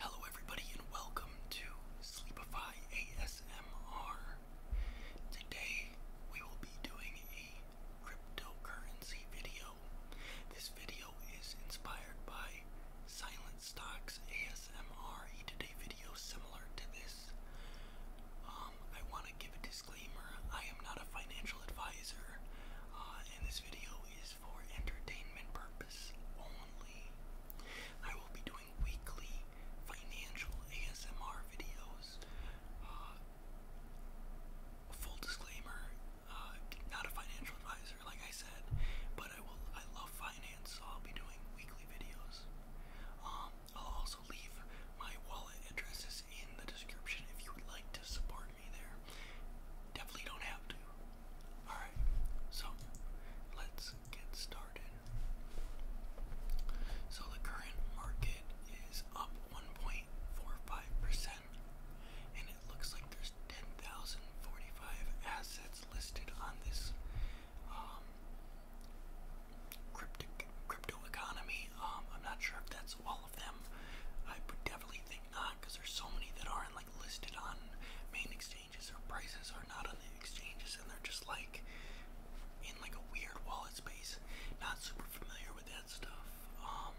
Hello, everybody, and welcome to Sleepify ASMR. Today, we will be doing a cryptocurrency video. This video is inspired by Silent Stocks ASMR. He did a video similar to this. Um, I want to give a disclaimer I am not a financial advisor, uh, and this video for entertainment purpose only. I will be doing weekly financial ASMR videos. Uh, full disclaimer, uh, not a financial advisor, like I said, but I will. I love finance, so I'll be doing weekly videos. Um, I'll also leave my wallet addresses in the description if you would like to support there. Definitely don't have to. Alright, so let's get started. So the current market is up 1.45%, and it looks like there's 10,045 assets listed on this um, crypto, crypto economy. Um, I'm not sure if that's all of them. I would definitely think not because there's so many that are in listed on main exchanges. Their prices are not on the exchanges, and they're just like in like a weird wallet space. Not super familiar with that stuff. Um,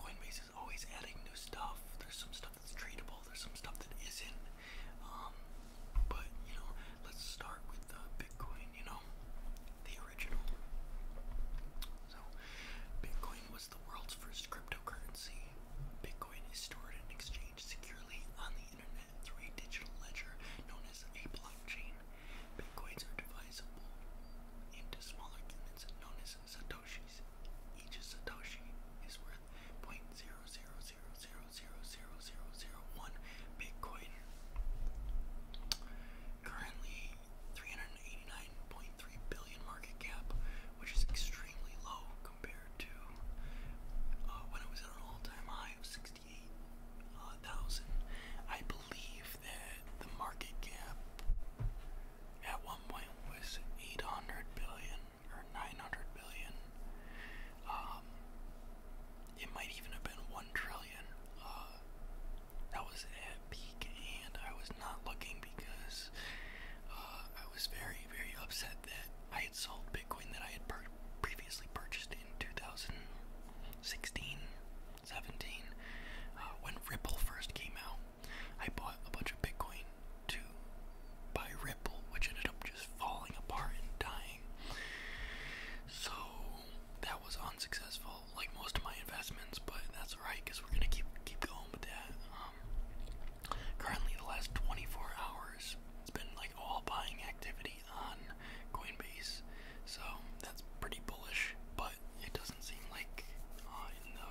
Coinbase is always adding new stuff. There's some stuff that's tradable. There's some stuff that isn't. Um, but you know, let's start with Bitcoin. You know, the original. So, Bitcoin was the world's first cryptocurrency. Bitcoin is stored and exchanged securely on the internet through a digital ledger known as a blockchain. Bitcoins are divisible into smaller units known as satoshis. Each satoshi is worth 0.00000001 Bitcoin. Currently, 389.3 billion market cap, which is extremely low compared to uh, when it was at an all-time high of 68,000. Uh, I believe that the market cap at one point was 800 billion or 900 billion. Um, it might even have been 1 trillion. Uh, that was at peak, and I was not looking because uh, I was very, very upset that I had sold Bitcoin that I had previously purchased in 2016, 17, uh, when Ripple first came out. I bought a bunch of Bitcoin to buy Ripple, which ended up just falling apart and dying. So that was unsuccessful like most of my investments, but that's alright because we're gonna keep keep going with that. Um, currently, the last 24 hours, it's been like all buying activity on Coinbase, so that's pretty bullish. But it doesn't seem like, uh, in the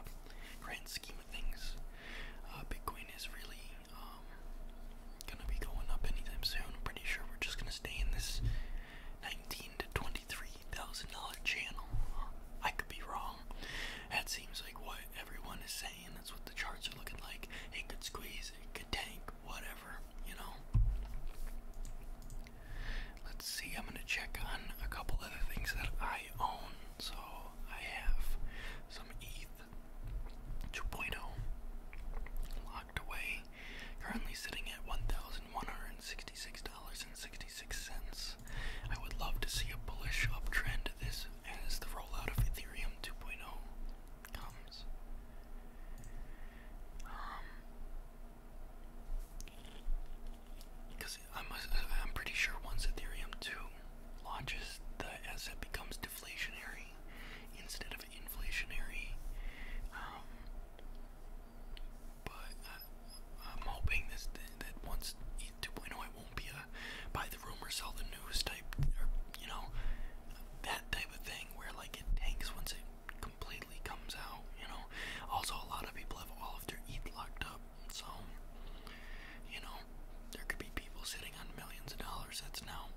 grand scheme of things, uh, Bitcoin is really um, gonna be going up anytime soon. I'm pretty sure we're just gonna stay in this 19 to 20 Three dollars channel. I could be wrong. That seems like what everyone is saying. That's what the charts are looking like. It could squeeze, it could tank, whatever, you know. Let's see, I'm going to check on a couple other things that I own. So I have some ETH 2.0 locked away, currently sitting at 1190 $66.66. I would love to see a bullish uptrend to this as the rollout of Ethereum 2.0 comes. because um, I'm, pretty sure once Ethereum 2 launches, the asset becomes deflationary instead of inflationary. Um, but I, uh, I'm hoping this that once 2.0 it won't be a buy the rumor, sell the news type, or you know, that type of thing where like it tanks once it completely comes out. You know, also a lot of people have all of their ETH locked up, so you know, there could be people sitting on millions of dollars that's now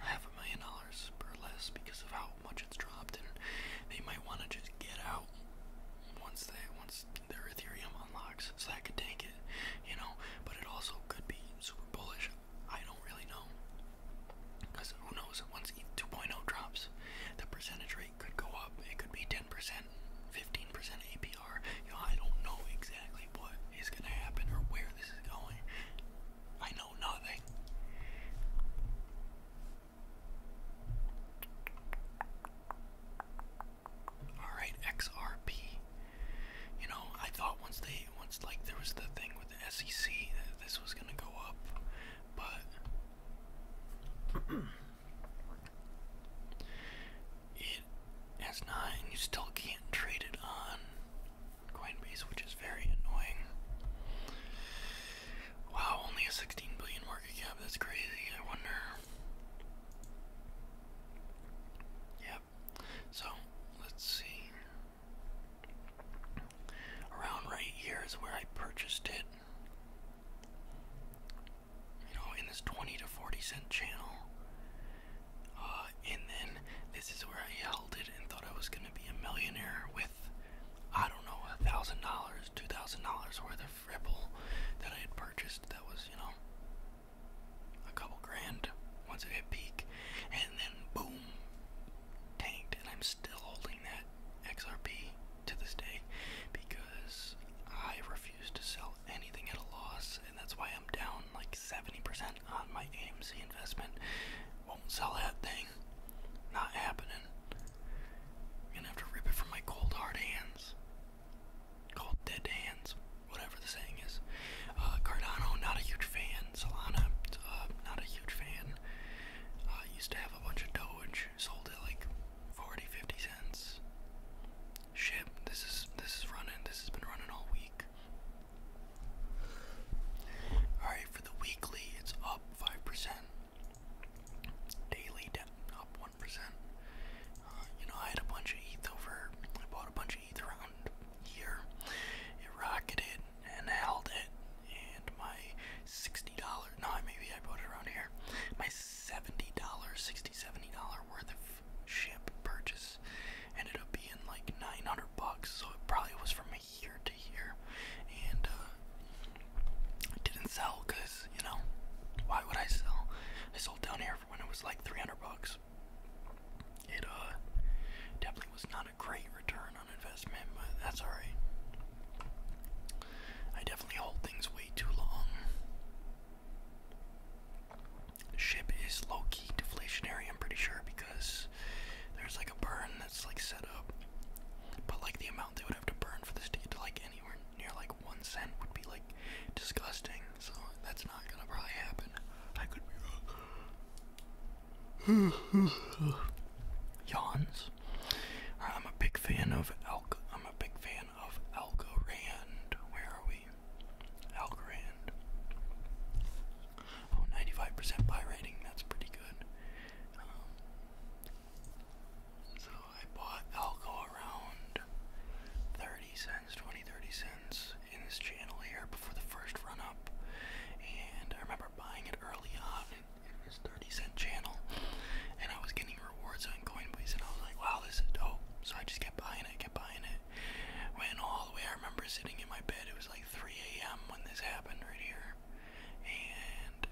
half a million dollars or less because of how how much it's dropped, and they might want to just get out once they once their Ethereum unlocks. So that could tank it, you know. But it also could be super bullish. I don't really know, because who knows? Once ETH 2.0 drops, the percentage rate could go up. It could be 10%, 15% APR. You know, I don't know exactly what is gonna happen or where this is going. I know nothing. Alright, XRP. You know, I thought once they once like there was the thing with the SEC that this was gonna go up, but it has not you still can't trade it on Coinbase, which is very annoying. Wow, only a 16 billion market cap. That's crazy. I wonder. Yep. So, let's see. Around right here is where I purchased it. You know, in this 20 to 40 cent channel. Uh, and then this is where I held it and thought I was going to be a millionaire with I don't know, a thousand dollars, two thousand dollars worth of Ripple that I had purchased that was, you know, a couple grand once it hit peak, and then boom, tanked. And I'm still holding that XRP to this day because I refuse to sell anything at a loss, and that's why I'm down like 70% on my AMC investment. Won't sell that thing. Not happening. gonna have to rip it from my cold hard hands. Cold dead hands. Whatever the saying is. Uh, Cardano, not a huge fan. Solana, uh, not a huge fan. Uh, used to have a bunch of Doge. Sold it like 40, cents. Shit, this is this is running. This has been running all week for the weekly, it's up 5%. Daily, up 1%. Uh, you know, I had a bunch of ETH over, I bought a bunch of ETH around here. It rocketed and held it, and my $60, no, maybe I bought it around here. My $70, $60, $70 worth of ship purchase ended up being like 900 bucks, so it probably was for me here to here, and uh, didn't sell because you know why would I sell? I sold down here when it was like 300 bucks. It uh, definitely was not a great return on investment, but that's alright. I definitely hold things way too long. ship is low key deflationary, I'm pretty sure, because there's like a burn it's like set up. But like the amount they would have to burn for this to get to like anywhere near like one cent would be like disgusting. So that's not gonna probably happen. I could be wrong. Yawns. I'm a big fan of Alco. I'm a big fan of Algorand. Where are we? Algorand. Oh, 95% buy rating, that's pretty good. Um, so I bought Alco around 30 cents, 20, 30 cents in this channel here before the first run up. And I remember buying it early on in, in this 30 cent channel. And I was getting rewards on Coinbase and I was like, wow, this is dope. So I just kept buying it, kept buying it. Went all the way, I remember sitting in my bed, it was like 3 a.m. when this happened right here there, and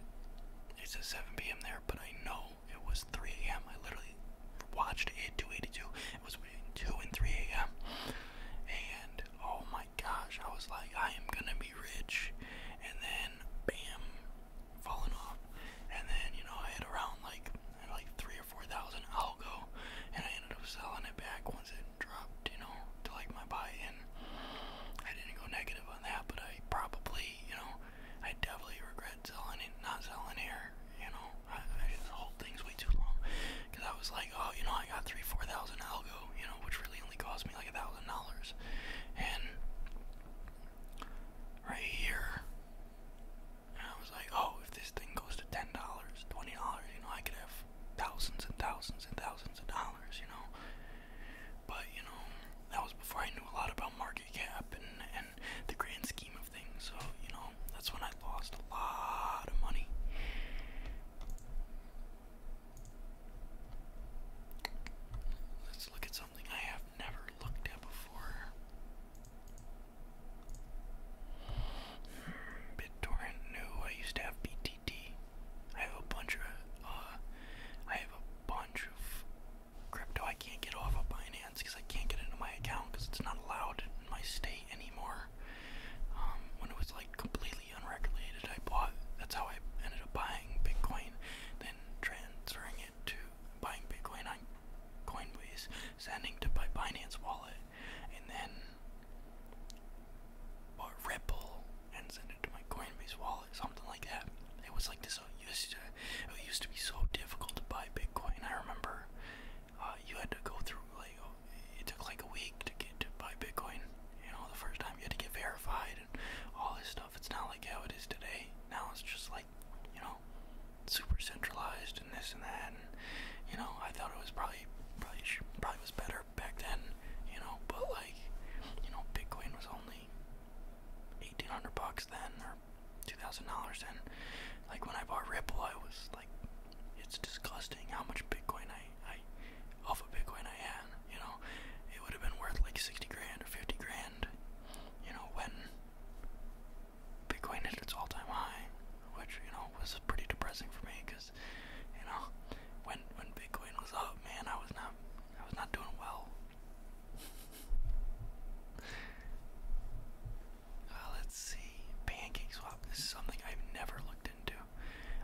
it says 7 p.m. there, but I know it was 3 a.m. I literally watched it 282. It was between 2 and 3 a.m. And oh my gosh, I was like, I am gonna be rich, and then bam, falling off. And then you know I had around like like three or four thousand algo, and I ended up selling it back once it dropped, you know, to like my buy-in. I didn't go negative on that, but I probably, you know, I definitely regret selling it, not selling here. You know, I, I just hold things way too long because I was like, oh, you know, I got three, four thousand algo, you know, which really only cost me like a thousand dollars, and right here. And I was like, oh, if this thing goes to ten dollars, twenty dollars, you know, I could have of thousands and thousands and thousands of dollars, you know. But you know, that was before I knew a lot about market cap and and the grand scheme of things. So you know, that's when I lost a lot of money. Let's look at something I have never looked at before. Hmm, BitTorrent, no, I used to have BT I have a bunch of uh, I have a bunch of crypto I can't get off of Binance because I can't get into my account because it's not allowed in my state anymore. Um, when it was like completely unregulated, I bought. That's how I ended up buying Bitcoin, then transferring it to buying Bitcoin on Coinbase, sending to my Binance wallet, and then bought Red and sent it to my Coinbase wallet, something like that. It was like this. It used to, it used to be so difficult to buy Bitcoin. I remember uh, you had to go through like it took like a week to get to buy Bitcoin. You know, the first time you had to get verified and all this stuff. It's not like how it is today. Now it's just like you know, super centralized and this and that. And you know, I thought it was probably probably probably was better back then, you know, but like, you know, Bitcoin was only eighteen hundred bucks then or two thousand dollars then. Like when I bought Ripple I was like it's disgusting how much Bitcoin I, I off of Bitcoin I had, you know. It would have been worth like sixty grand or fifty grand, you know, when Bitcoin hit its all time high, which, you know, was pretty depressing for me because you know when when Bitcoin was up, man, I was not I was not doing well. Uh, let's see, pancake swap. This is something I've never looked into.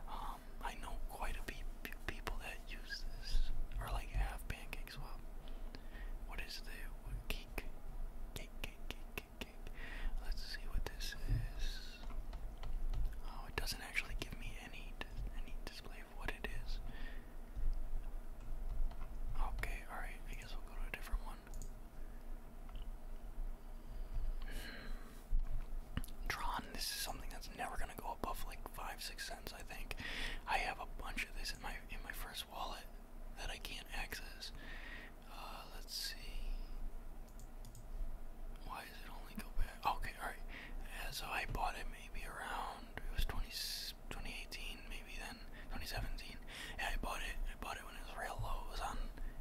Um, I know quite a few people that use this or like have pancake swap. What is the cake, Let's see what this is. Oh, it doesn't actually give me any any display of what it is. Okay, all right. I guess we'll go to a different one. Tron. This is something that's never gonna go above like five, six cents. I think. I have a bunch of this in my in my first wallet that I can't access. Uh, let's see. Why does it only go back? Okay, alright. Yeah, I bought it maybe around, it was 20, 2018, maybe then, 2017. I bought it. I bought it when it was real low. It was on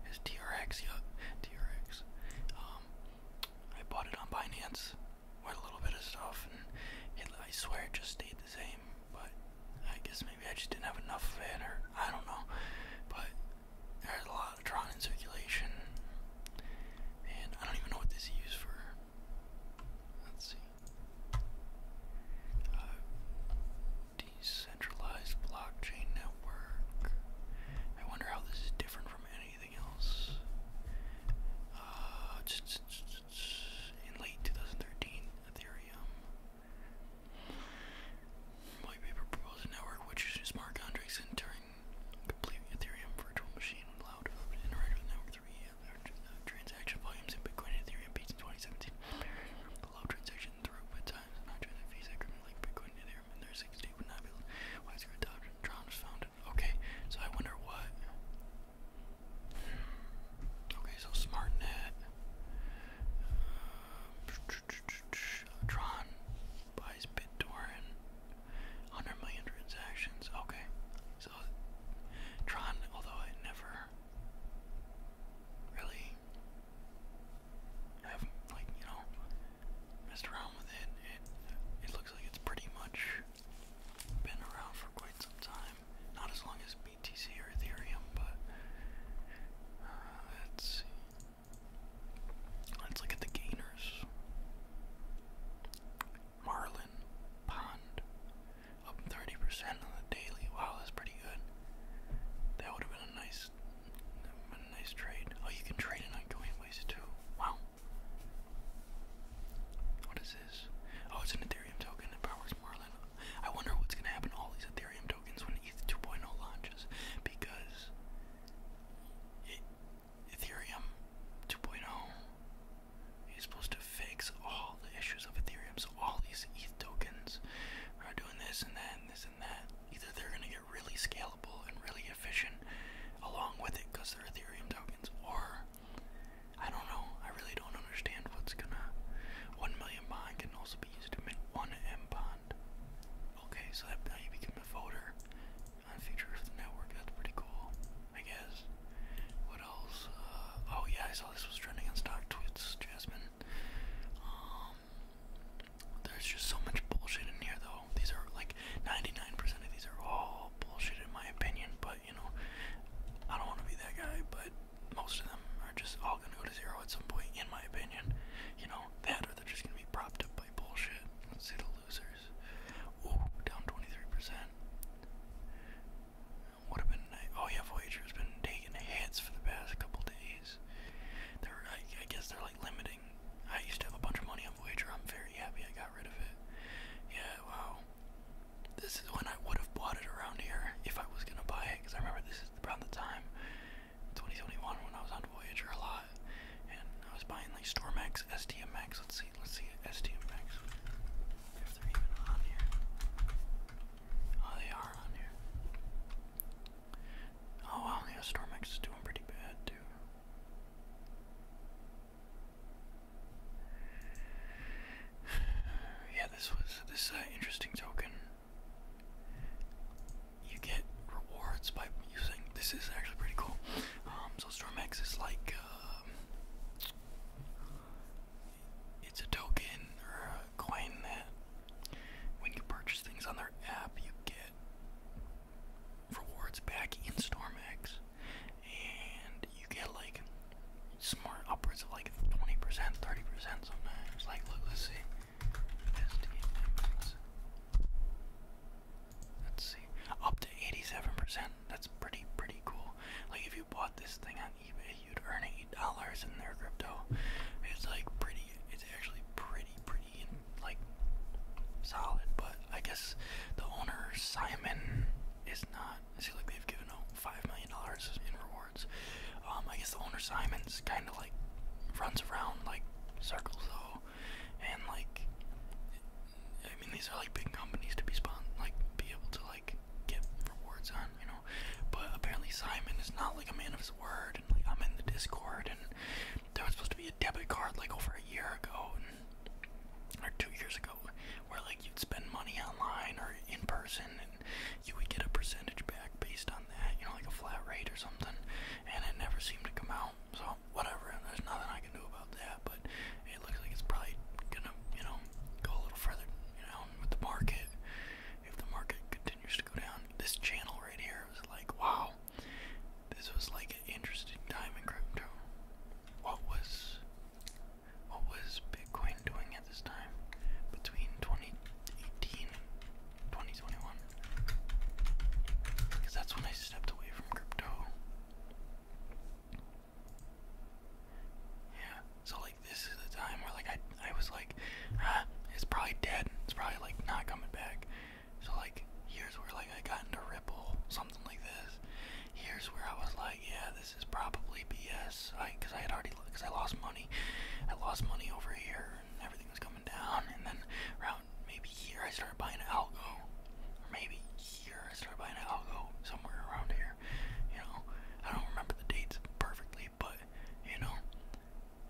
his TRX, yeah, TRX. Um, I bought it on Binance, with a little bit of stuff, and I swear it just stayed the same, but I guess maybe I just didn't have enough of I don't know. But there's a lot of Tron in circulation. And I don't even know what this is used for. Let's see. Uh, decentralized blockchain network. I wonder how this is different from anything else. Uh, in late 2013, Ethereum White paper network which uses smart contracts and Turing Ethereum virtual machine would allow developers network through uh, uh, transaction volumes in Bitcoin Ethereum peaked in 2017. Allow transaction through times transaction fees that like Bitcoin Ethereum in their 60 would not be widespread adoption. Tron was Okay, so I wonder what. Okay, so SmartNet. Uh, Tron buys BitTorrent. 100 million transactions. Okay. So, Tron, although I never really have, like, you know, messed around with it, it, it looks like it's pretty much been around for quite some time. Not as long as BTC or Ethereum, but uh, let's see. Let's look at the gainers. Marlin Pond up 30% on the daily. Wow, that's pretty good. That would have been a nice, a nice trade. Oh, you can trade it Coinbase too. Wow. What is this? Oh, it's an Ethereum token that powers to Merlin. I wonder what's gonna happen to all these Ethereum tokens when ETH 2.0 launches, because it, Ethereum 2.0 is supposed to fix all the issues of Ethereum. So all these ETH tokens are doing this and that and this and that. Either they're gonna get really scalable and really efficient along with it because they're Ethereum tokens, or I don't know. I really don't understand what's gonna. One million bond can also be used one M bond. Okay, so that, now you become a voter on Future of the Network. That's pretty cool, I guess. What else? Uh, oh yeah, I saw this was trending on Stock Twits, Jasmine. Um, there's just so much bullshit in here, though. These are like 99% of these are all bullshit, in my opinion. But you know, I don't want to be that guy, but most of them are just all gonna go to zero at some point, in my opinion. You know, that or they're just gonna be propped up by bullshit. Let's see the losers. Ooh, down 23%. Would have been Oh, yeah, Voyager's been taking hits for the past couple days. They're, I, I guess they're like limiting. I used to have a bunch of money on Voyager. I'm very happy I got rid of it. Yeah, wow. This is when I would have bought it around here if I was gonna buy it, because I remember this is around the time, 2021, when I was on Voyager a lot, and I was buying like Stormax, STMX. Let's see, let's see, STMX. Oh, they are on here. Oh wow, yeah, Stormax is doing pretty bad too. yeah, this was this uh, interesting token. You get rewards by using this is actually pretty cool. Um, so StormX is like um, it's a token or a coin that when you purchase things on their app, you get rewards back in StormX, and you get like smart upwards of like 20%, 30% sometimes. Like, look, let's see. Let's see. Up to 87%. That's pretty, pretty cool. Like, if you bought this thing on eBay, you'd earn $8 in their crypto. It's like pretty, it's actually pretty, pretty, like, solid. But I guess the owner, Simon, is not not. I see like they've given out five million dollars in rewards. Um, I guess the owner Simon's kind of like runs around like circles though, and like I mean these are like big companies to be spon like be able to like get rewards on, you know. But apparently Simon is not like a man of his word, and like I'm in the Discord, and there was supposed to be a debit card like over a year ago. And, or two years ago, where like you'd spend money online or in person, and you would get a percentage back based on that, you know, like a flat rate or something, and it never seemed to come out. So, whatever, there's nothing I can do about that, but it looks like it's probably gonna, you know, go a little further down with the market if the market continues to go down. This channel right here was like, wow, this was like an interesting time in crypto. What was what was Bitcoin doing at this time between 2018 and 2021? Because that's when I stepped away from crypto. Yeah, so like this is the time where like I I was like, ah, it's probably dead. It's probably like not coming back. So like here's where like I got into Ripple, something like this. Here's where I was like, yeah, this is probably BS. I, cause I had already, cause I lost money. I lost money over here, and everything was coming down. And then around maybe here, I started buying algo, or maybe here, I started buying algo somewhere around here. You know, I don't remember the dates perfectly, but you know,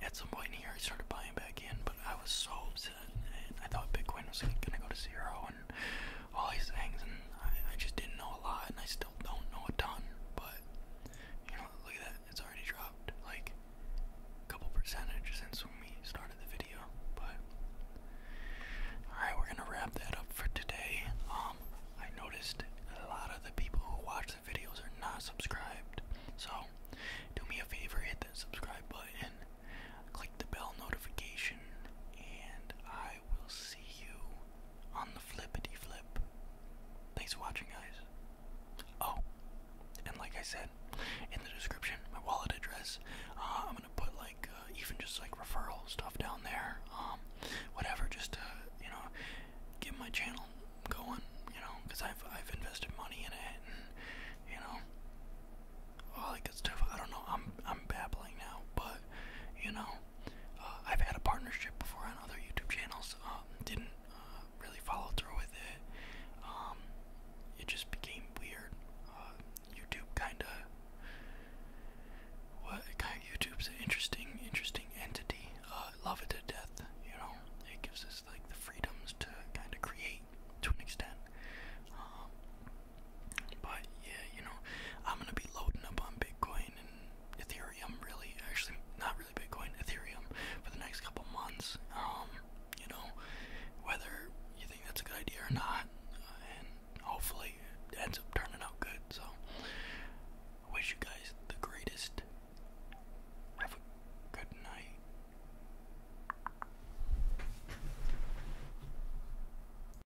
at some point here, I started buying back in. But I was so upset, I thought Bitcoin was gonna go to zero, and all these things, and I, just didn't know a lot, and I still don't know a ton. But you know, look at that, it's already dropped like a couple percentage since when we started the video. But all right, we're gonna wrap that up for today. Um, I noticed a lot of the people who watch the videos are not subscribed, so do me a favor, hit that subscribe button, click the bell notification, and I I will see you on the flippity flip. Thanks for watching, guys. Oh, and like I said, in the description, my wallet address. Uh, I'm gonna put like uh, even just like referral stuff down there. Um, whatever, just to you know, get my channel going. You know, because I've I've invested money in it, you know, all that good stuff. I don't know. I'm I'm babbling now, but you know, uh, I've had a partnership before on other YouTube channels. Um, didn't uh, really follow through with it. Um, it just became weird. Uh, YouTube kind of. What YouTube's an interesting, interesting entity. love it to death. You know, it gives us like the freedoms to kind of create to an extent. Um, but yeah, you know, I'm gonna be loading up on Bitcoin and Ethereum. Really, actually, not really Bitcoin, Ethereum for the next couple months. Um, you know, whether you think that's a good idea or not, and hopefully it ends up turning out good. So, I wish you guys the greatest. Have a good night.